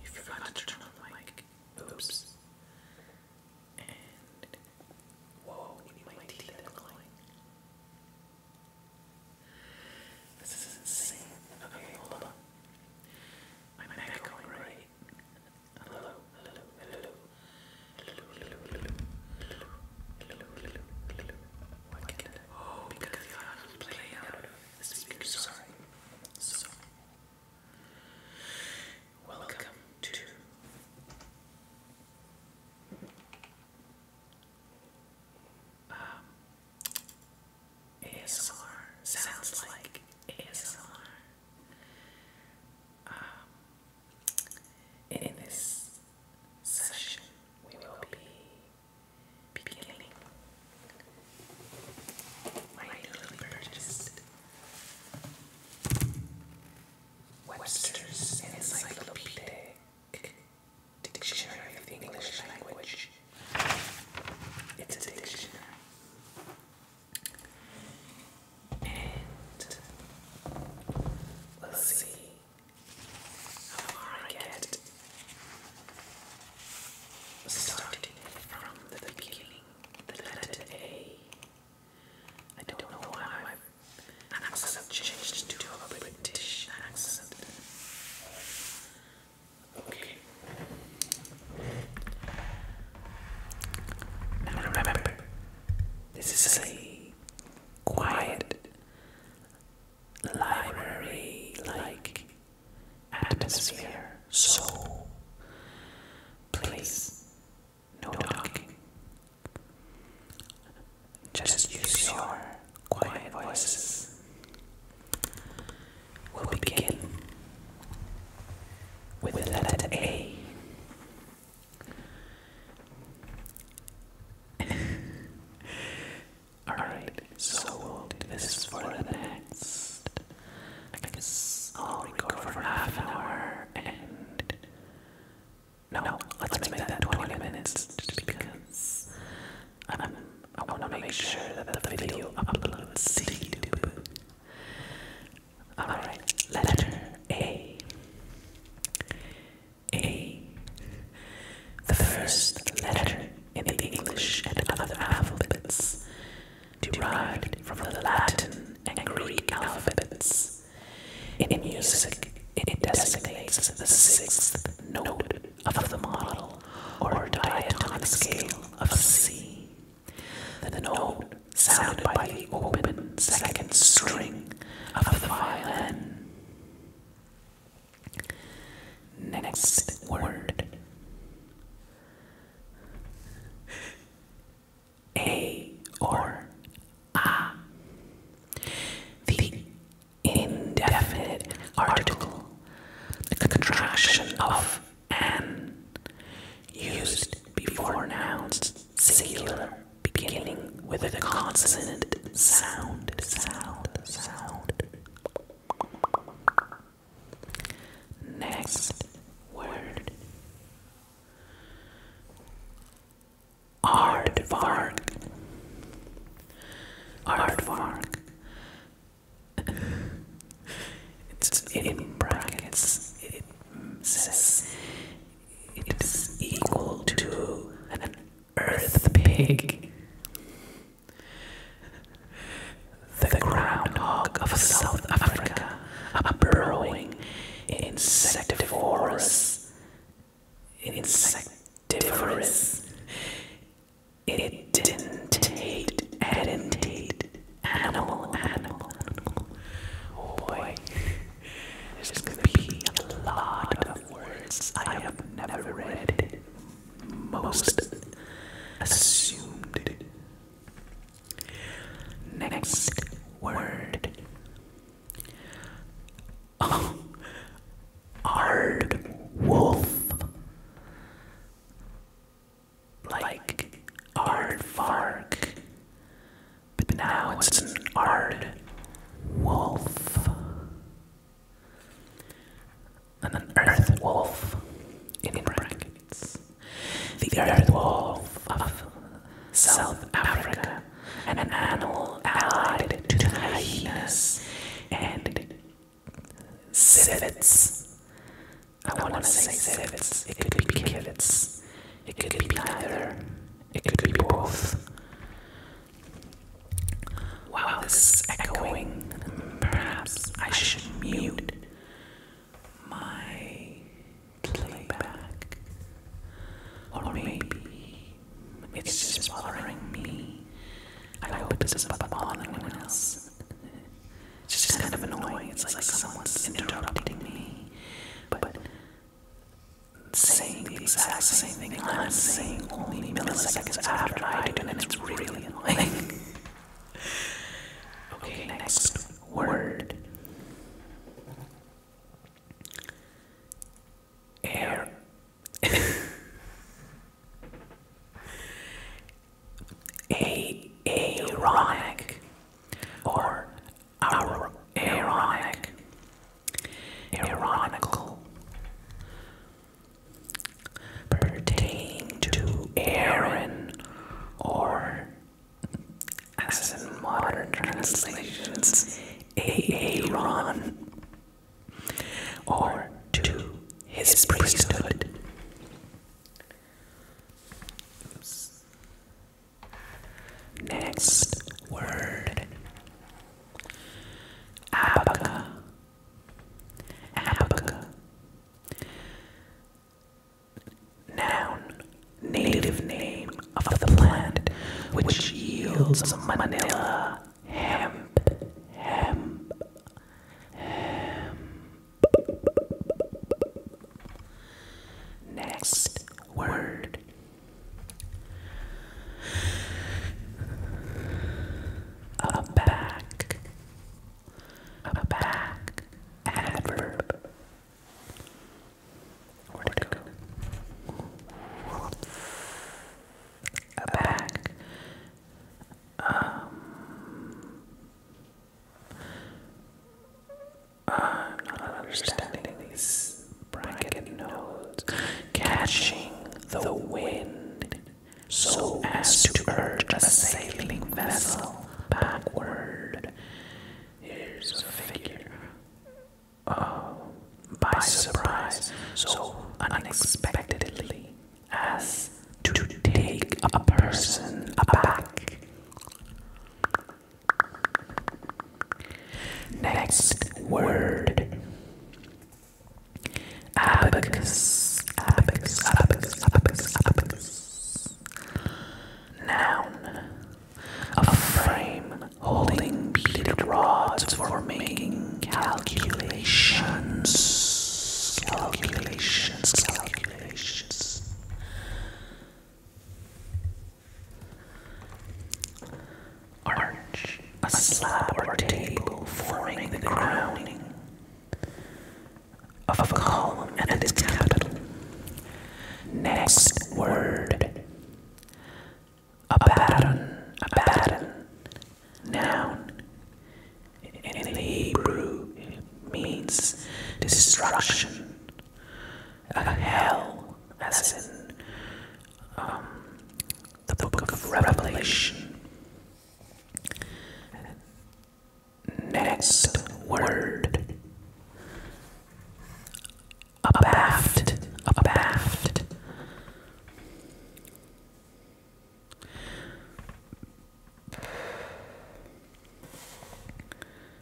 You forgot to turn on the mic. Oops. And whoa, my teeth are glowing. This is insane. Okay, hold on. I'm echoing, right? Hello, hello, hello. Why can't I? Oh, because the audio playing out of the speaker, sorry. So, welcome to um, ASMR sounds like ASMR. Um, in this session, we will be beginning my newly purchased Webster's Encyclopedic Dictionary of the English Language. It's a dictionary. And we'll see However, I get starting from the beginning, the letter I don't know why my accent changed to a British accent. Okay. Now remember, this is a quiet library like atmosphere. So please, no talking. Just use your quiet voices. We'll begin with the letter A. Alright, so, this, this for the next. I guess I'll for half an hour and. No, let's, make, that 20 minutes just because I'm, I want to make sure that the video uploads Alright, letter A. A. The first letter in the English and other alphabets, derived from the Latin and Greek alphabets. In music, it designates the sixth note of the model or diatonic scale of C. The note sounded by the open second string of the violin. Next word A or A. The indefinite article, the contraction of an, used before nouns singular, beginning with a consonant sound, sound, sound. Next word. Aardvark. Aardvark. it's in brackets. It says it is equal to an earth pig. The groundhog of South Africa, a burrowing insectivorous, insectivorous. It did animal, animal, boy. This is gonna be a lot of words I have never read. Most assumed. Next word. Oh, Ard wolf. Like Ard fark but now it's an arid wolf. And an earth wolf in brackets. The earth wolf of South Africa, and an animal allied to hyenas and civets. I want to say civets, it could be civets. It could be neither. It could be both. Wow, this is echoing. Perhaps I should mute my playback. Or maybe it's just bothering me. I hope it doesn't bother anyone else. It's just kind of annoying. It's like someone's interrupting me. But saying the exact same thing I'm saying only milliseconds after I do, and it's really annoying. okay, next word. Air. a ironic or Ar Ironical. Pertaining to Aaron, or as in modern translations, Aaron, or to his priesthood. Next word Abaca. Abaca. Noun, native name of the plant which yields manila hemp. Hemp. Hemp. Next word a back. A back. Adverb. Where'd it go? A back. Um. I'm not understanding these bracket nodes. Catching the wind so as to urge a sailing vessel backward. Here's a figure. Oh, by surprise, so unexpectedly as to take a person aback. Next word abacus, abacus, abacus, abacus, abacus. Noun a frame holding beaded rods for making calculations. Calculations, calculations. Arch, a slab or table forming the crowning of a column and its capital. Next word, abaddon, abaddon, noun. In the Hebrew, means destruction uh, hell, as in um, the book of Revelation. Next word abaft, abaft.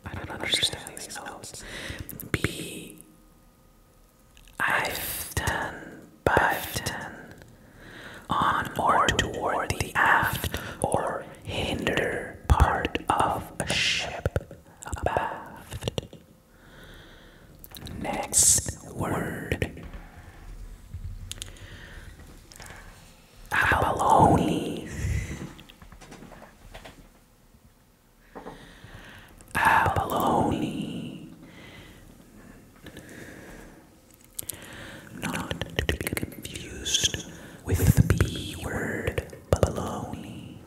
I don't understand these notes. B Ifton, Bifton, on or toward the aft or hinder part of a ship abaft. Next word. Abalone. Abalone. Not to be confused with the B word, baloney.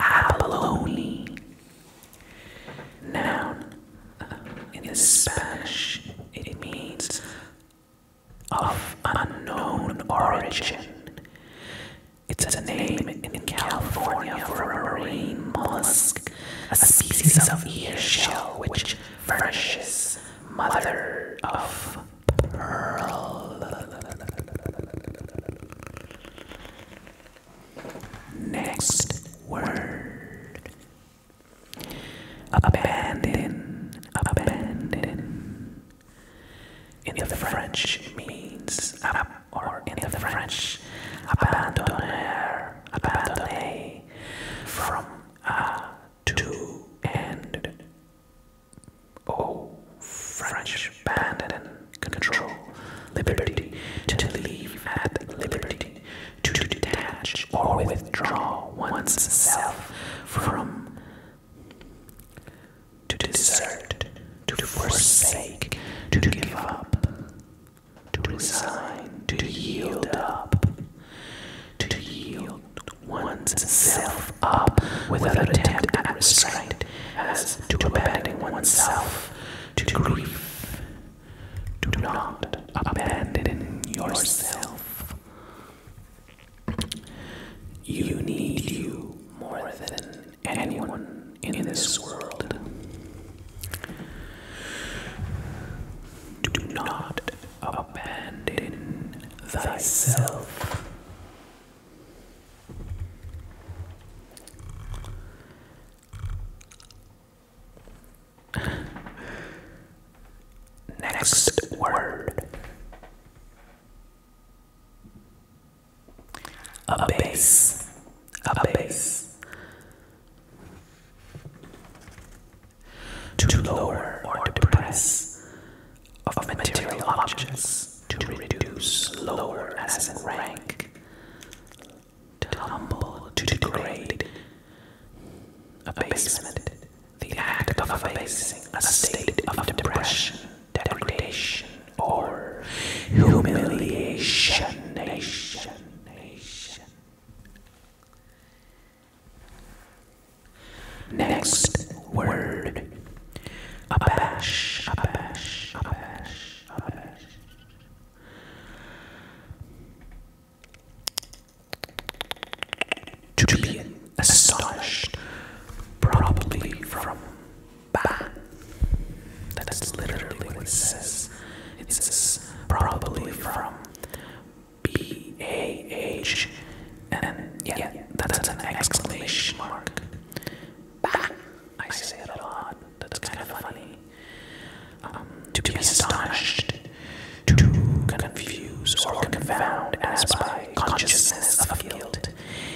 Abalone. Noun. Uh, in Spanish, it means of unknown origin. It's a name in California for a marine mollusk, a species of ear shell which furnishes mother of pearl. Next word abandon, abandon, in the French means ab, or in the French abandonner, abandonné, from a to and o French abandon, control, liberty, to leave at liberty, to detach or withdraw oneself from to desert, to forsake, to give up, to resign, to yield up, to yield one's self up without attempt at restraint, as to one's self to grief. Do not abandon yourself. You need you more than than anyone in this world. Do not abandon thyself. Next word a base. A base. To lower or depress of material objects to reduce lower as in rank. To humble, to degrade. Abasement. The act of abasing a state of depression degradation, or humiliation. Next word abash. To be astonished, probably from ba. That's literally what it says. It says probably from B A H, and yeah, yeah that's, an exclamation mark. Bah! I say it a lot. That's kind of funny. Um, to be astonished, to confuse or confound as by consciousness of guilt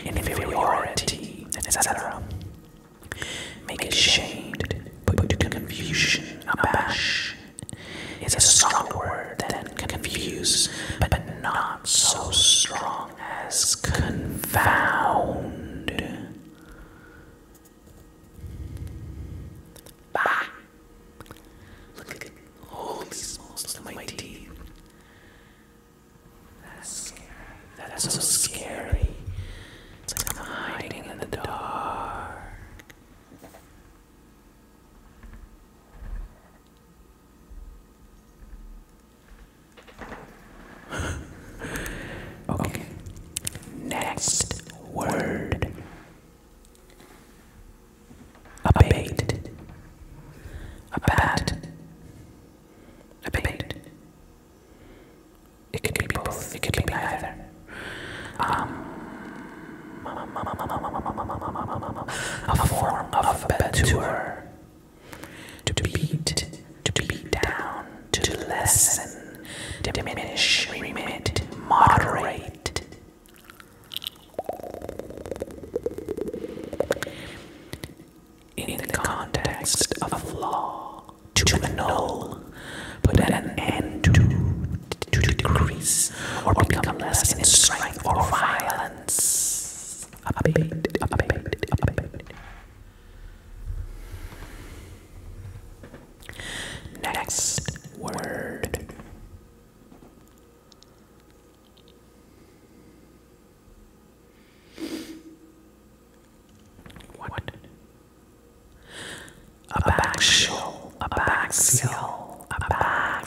inferiority, etc. Make ashamed, put to confusion, abash is a stronger word than confuse, but not so strong as confound. Bah! Look at it. Holy smokes, look that's scary. That's, so scary. It's like I'm hiding in the dark. okay. Next word. Abate. Abat. Debate. It could be both. It could be neither. Um, a form of betur. To beat, to beat down, to lessen, diminish, remit, moderate in the context of a flaw, to annul, put an end to, to decrease, or become less in strength or violence. Next word. What? A back a back a back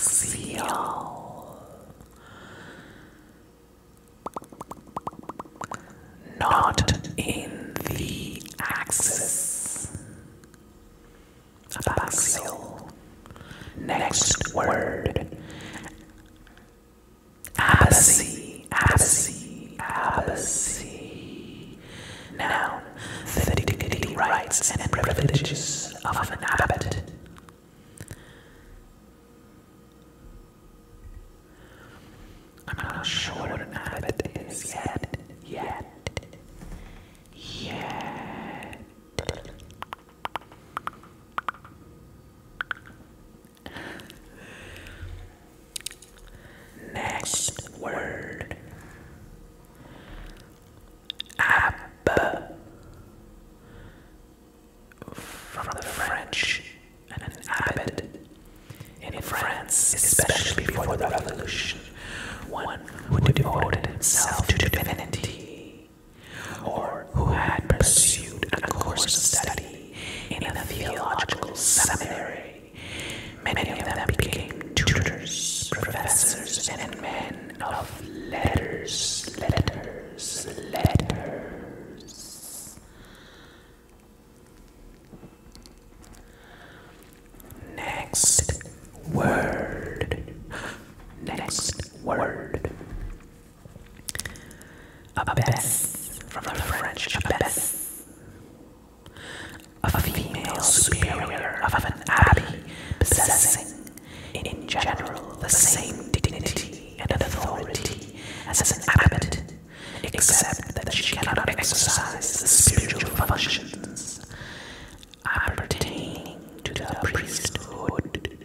Not in the axis. A Next word. Abbacy, Abbacy, Abbacy. Now, the dignity, rights, and privileges of an abbot. I'm not sure what an abbot is yet, yet, yet. Next word ab from the French and an abbot in France, especially before the revolution, one who devoted himself to divinity or who had pursued a course of study in a theological seminary. Many of them became tutors, professors, and men of letters, letters, letters. Next word. Next word. Abbess, from the French abbess. A female superior of an abbey, possessing, in general, the same dignity and authority as an abbot, except that she cannot exercise the spiritual functions appertaining to the priesthood.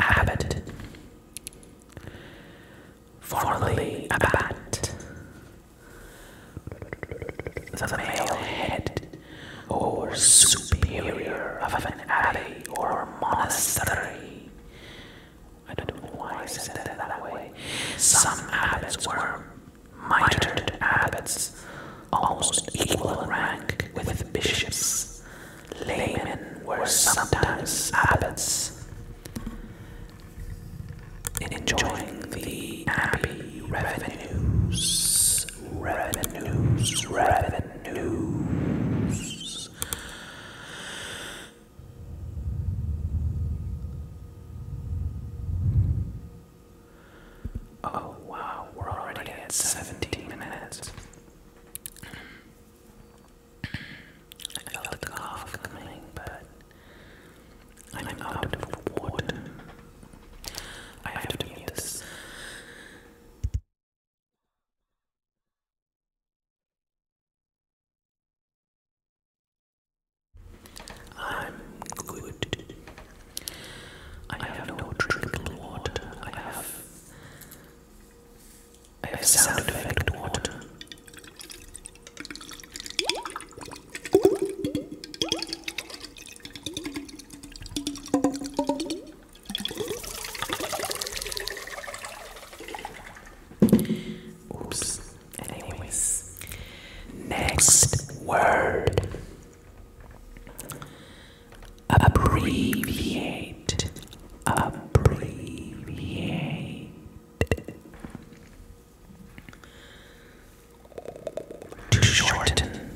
Abbot, formerly Abbat, the male head or superior of an abbey or monastery. I don't know why I said that way. Some abbots were mitred abbots, almost equal in rank with bishops. Laymen were sometimes abbots. In enjoying the abbey revenues, Oh wow, we're already at 17 minutes. I felt the cough coming, but I'm out of water. I have to mute I'm good. I have no drinkable water. I have. I have sound effect water. Oops. Anyways. Next word abbreviate, abbreviate. To shorten,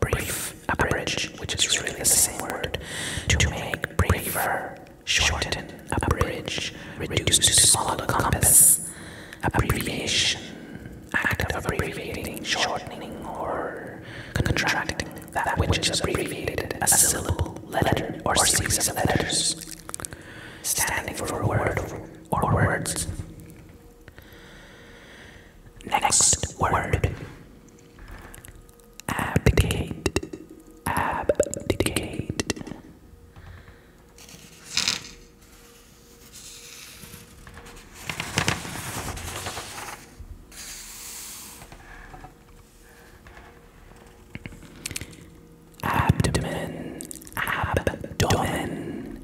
brief, a bridge, which is really the same word, to make briefer, shorten, a bridge, reduce to smaller compass, abbreviation, act of abbreviating, shortening, or contracting that which is abbreviated as a syllable, letter, or series of letters, standing for a word or words. Next word abdicate, abdomen, abdomen.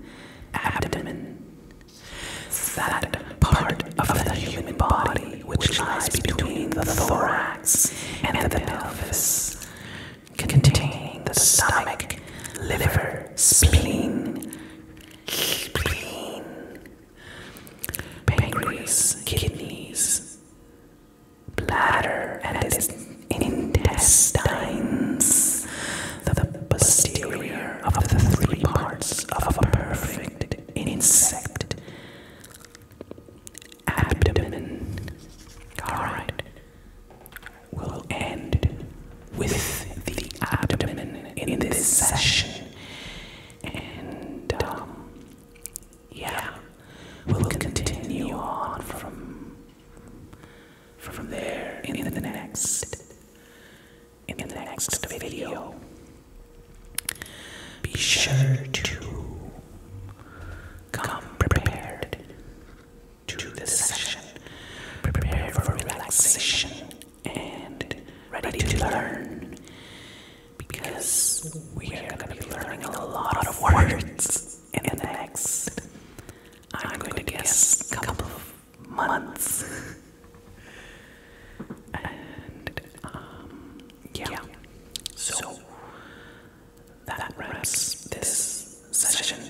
That part of the human body which lies between the thorax and the pelvis, containing the stomach, liver, spleen, spleen, pancreas, kidneys, bladder, and its intestines, the posterior of the three parts of a perfect insect abdomen. Alright. We'll end with the abdomen in this session. And, um, yeah, we'll continue on from from there in the next in the next video. Be sure to come prepared to this session. Prepare for relaxation and ready to learn. Because we are going to be learning a lot of words in the next, I'm going to guess, couple of months. And um, yeah. So, that, wraps this session.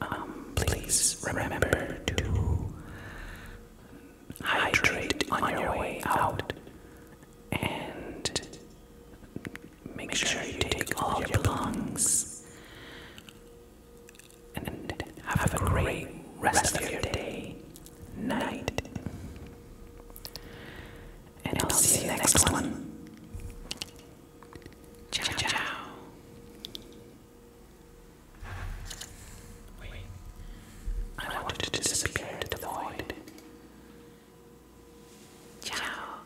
Um, please remember to hydrate on your way out and make sure you take all your lungs. and have a great rest of your day night. And I'll see you next one. Ciao, ciao. I want to disappear to the void. Ciao.